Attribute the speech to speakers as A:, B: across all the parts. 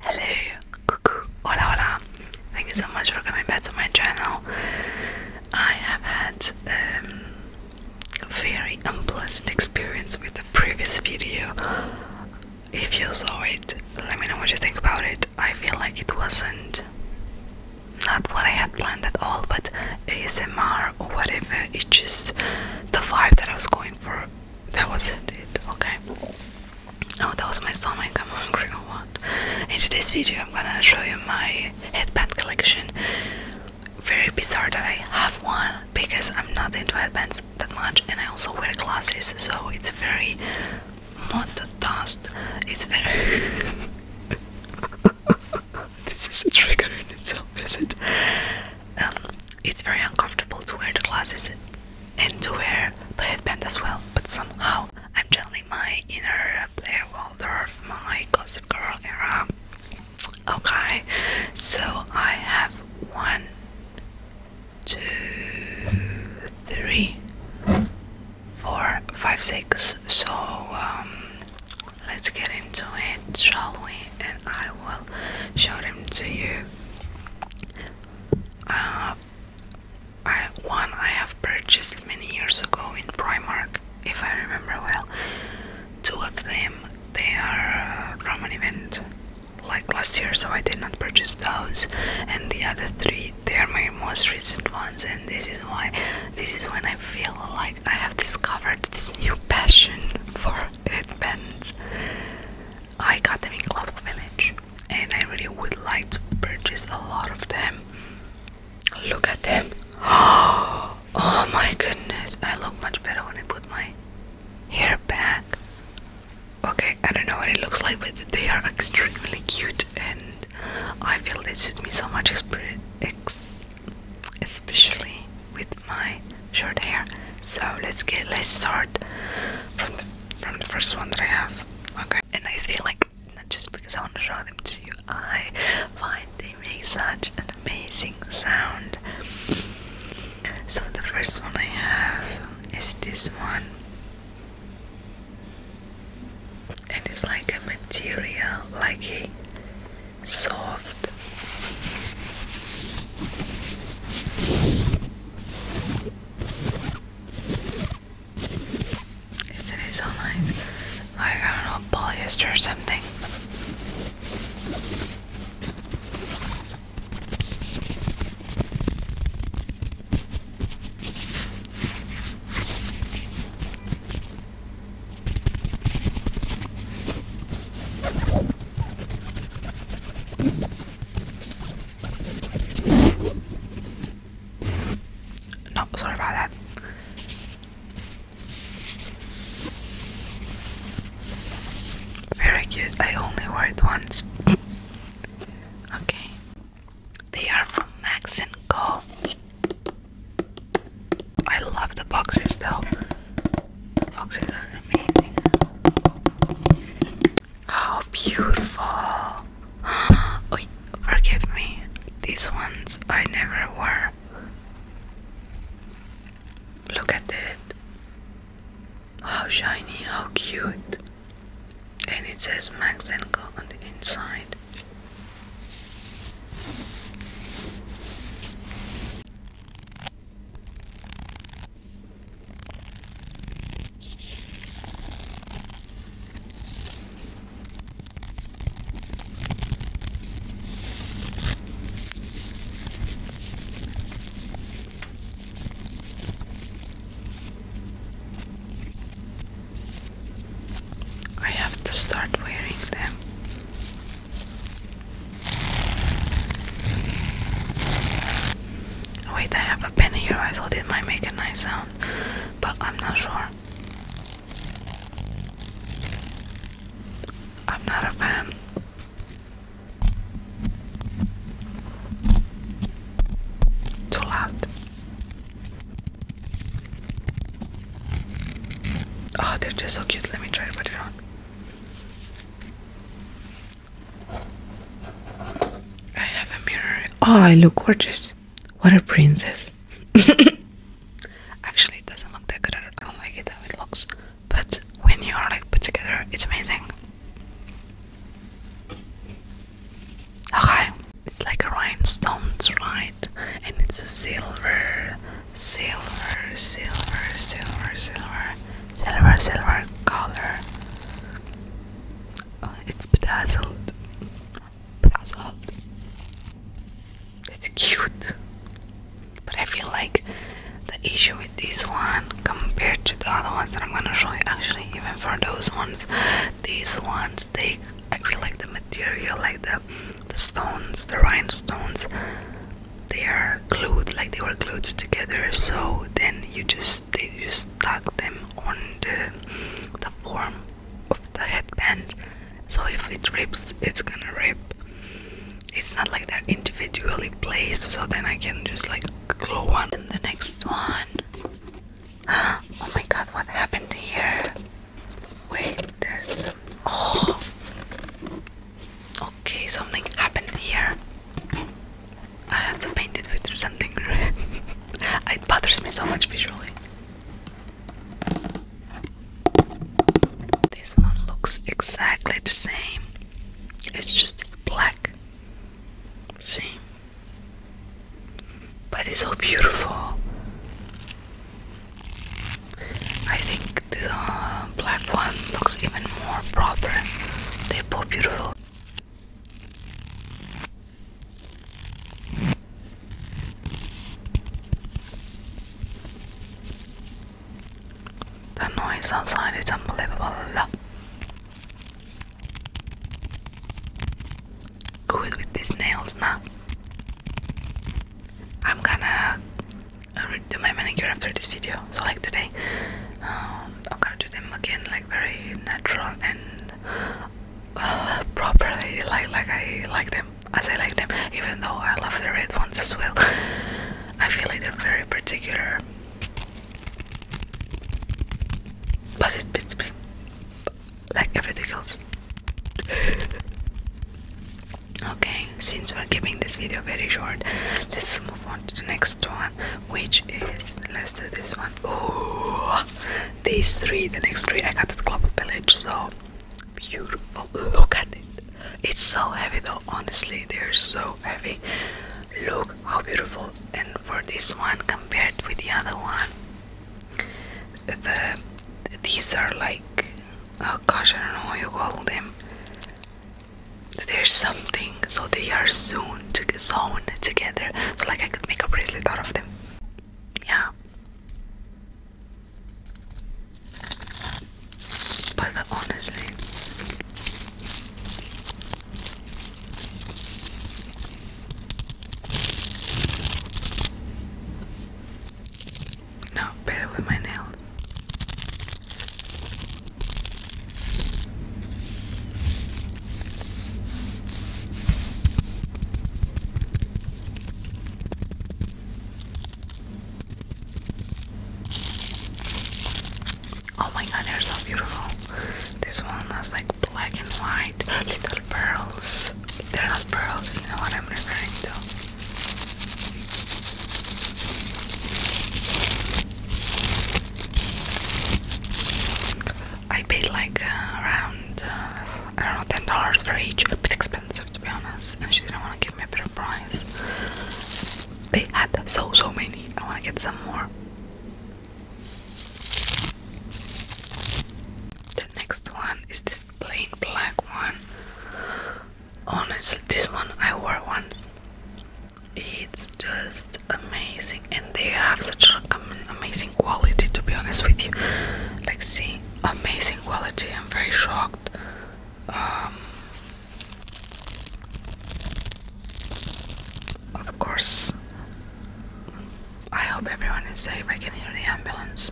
A: Hello, hola hola. Thank you so much for coming back to my channel. I have had a um, very unpleasant experience with the previous video. If you saw it, let me know what you think about it. I feel like it wasn't not what I had planned at all, but ASMR or whatever. It's just the vibe that I was going for. That wasn't it. Okay. Oh, that was my stomach. I'm hungry what? In today's video, I'm gonna show you my headband collection. Very bizarre that I have one because I'm not into headbands that much, and I also wear glasses, so it's very not the dust. It's very. this is a trigger in itself, is it? Um, it's very uncomfortable to wear the glasses and to wear the headband as well, but somehow I'm channeling my inner Blair Waldorf, my Gossip Girl era. Okay, so I have one, two, three, four, five, six. So um, let's get into it, shall we? And I will show them to you. Uh, I, one I have purchased many years ago in Primark, if I remember well. Two of them they are uh, from an event like last year, so I did not purchase those. And the other three they are my most recent ones, and this is why this is when I feel like I have discovered this new passion for headbands. I got them in Club Village and I really would like to purchase a lot of them. Look at them. Oh my goodness. I look much better when I put my hair back. Okay, I don't know what it looks like, but they are extremely cute and I feel they suit me so much, especially with my short hair. So let's get let's start from the from the first one that I have. Okay. And I feel like not just because I want to show them to you, I find they make such an amazing sound. So the first one I have is this one. And it's like a material, like a soft isn't it so nice? Like, I don't know, ballista or something. No, sorry about that. Very cute. I only wore it once. okay. They are from Max and Co. I love the boxes though. Foxes are amazing. How beautiful! oh, forgive me. These ones I never wore. Look at it. How shiny, how cute. And it says Max and Co on the inside. I have to start wearing them Oh, wait, I have a pen here. I thought it might make a nice sound, but I'm not sure. I'm not a fan. Too loud. Oh, they're just so cute. Let me try to put it on. I have a mirror. Oh, I look gorgeous. What a princess. Actually, it doesn't look that good. I don't like it how it looks. But when you are like put together, it's amazing. Okay, it's like a rhinestones, right? And it's a silver, silver, silver, silver, silver, silver silver color oh, it's bedazzled bedazzled it's cute but I feel like the issue with this one compared to the other ones that I'm gonna show you actually even for those ones these ones they I feel like the material like the the stones the rhinestones they are glued like they were glued together so then you just they just stuck them on the the form of the headband so if it rips it's gonna rip it's not like they're individually placed so then i can just like glue one in the next one oh my god what happened here wait there's oh Okay, something happened here. I have to paint it with something red. it bothers me so much visually. This one looks exactly the same. It's just it's black. See? But it's so beautiful. I think the uh, black one looks even more proper. They're both beautiful. The noise outside is unbelievable. Good with these nails now. I'm gonna I'll redo my manicure after this video. So like today, um, I'm gonna do them again, like very natural and uh, properly, like like I like them, as I like them. Even though I love the red ones as well, I feel like they're very particular. But it fits me, like everything else okay since we're keeping this video very short let's move on to the next one which is let's do this one oh these three the next three i got at Club village so beautiful look at it it's so heavy though honestly they're so heavy look how beautiful and for this one compared with the other one the these are like oh gosh i don't know what you call them there's something so they are soon to sewn together so like i could make a bracelet out of them yeah but honestly no, better with my nails. Oh my god, they're so beautiful. This one has like black and white little pearls. They're not pearls, you know what I'm referring to. I paid like uh, around uh, I don't know ten dollars for each. A bit expensive to be honest, and she didn't want to give me a better price. They had so so many. I want to get some more. The next one is this plain black one honestly this one I wore one it's just amazing and they have such amazing quality to be honest with you like see amazing quality I'm very shocked um, of course I hope everyone is safe I can hear the ambulance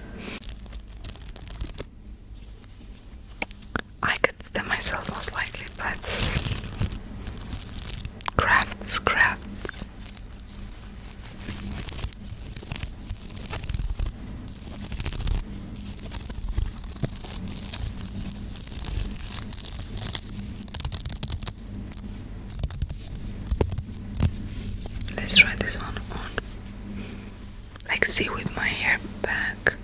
A: I could do them myself most likely, but crafts, crafts. Let's try this one on like see with my hair back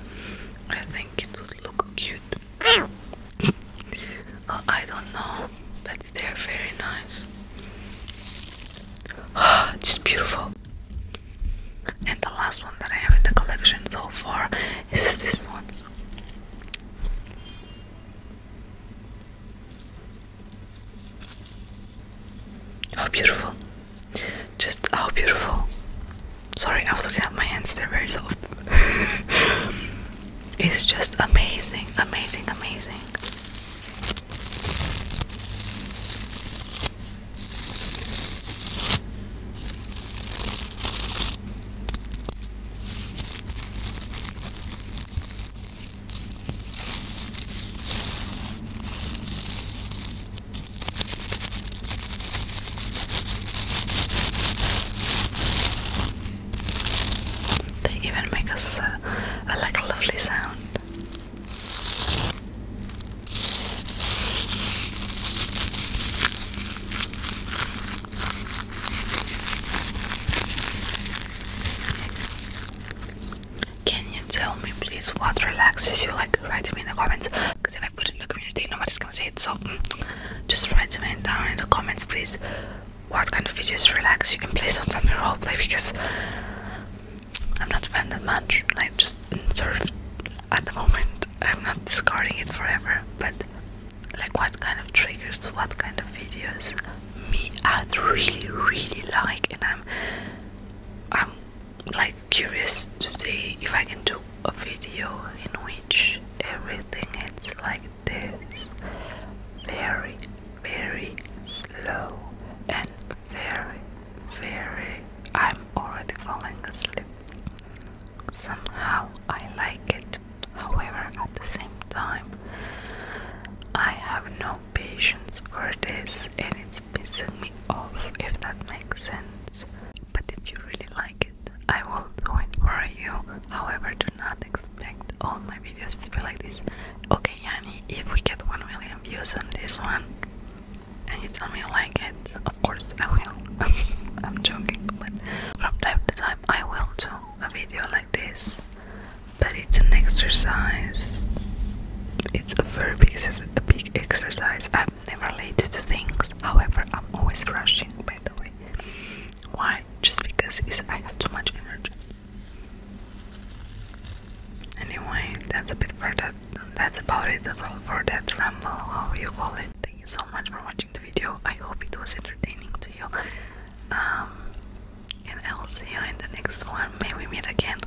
A: I think it would look cute oh, I don't know but they're very nice oh, just beautiful and the last one that I have in the collection so far is this one Oh, beautiful. Just how oh, beautiful. Sorry, I was looking at my hands, they're very soft. it's just amazing, amazing, amazing. They even make us uh, a, like a lovely sound. Can you tell me please what relaxes you? Like write to me in the comments because if I put in the community nobody's gonna see it so mm, just write to me down in the comments please what kind of videos relax you Can please don't tell me roleplay because I'm not a fan that much like just sort of at the moment I'm not discarding it forever but like what kind of triggers, what kind of videos me I'd really really like and I'm I'm like curious to see if I can do a video in which everything is like this very very slow and very very I'm already falling asleep somehow I like it however at the same time I have no patience for this and it's pissing me off if that makes sense. But if you really like it, I will do it for you. However, do not expect all my videos to be like this. Okay, Yanni, if we get 1 million views on this one and you tell me you like it, of course I will. I'm joking, but from time to time I will do a video like this. But it's an exercise. It's a very not it? a big exercise. I'm never late to things. However, I'm always rushing, by the way. Why? Just because it's, I have too much energy. Anyway, that's a bit for that. That's about it for that ramble, how you call it. Thank you so much for watching the video. I hope it was entertaining to you. Um, and I'll see you in the next one. May we meet again.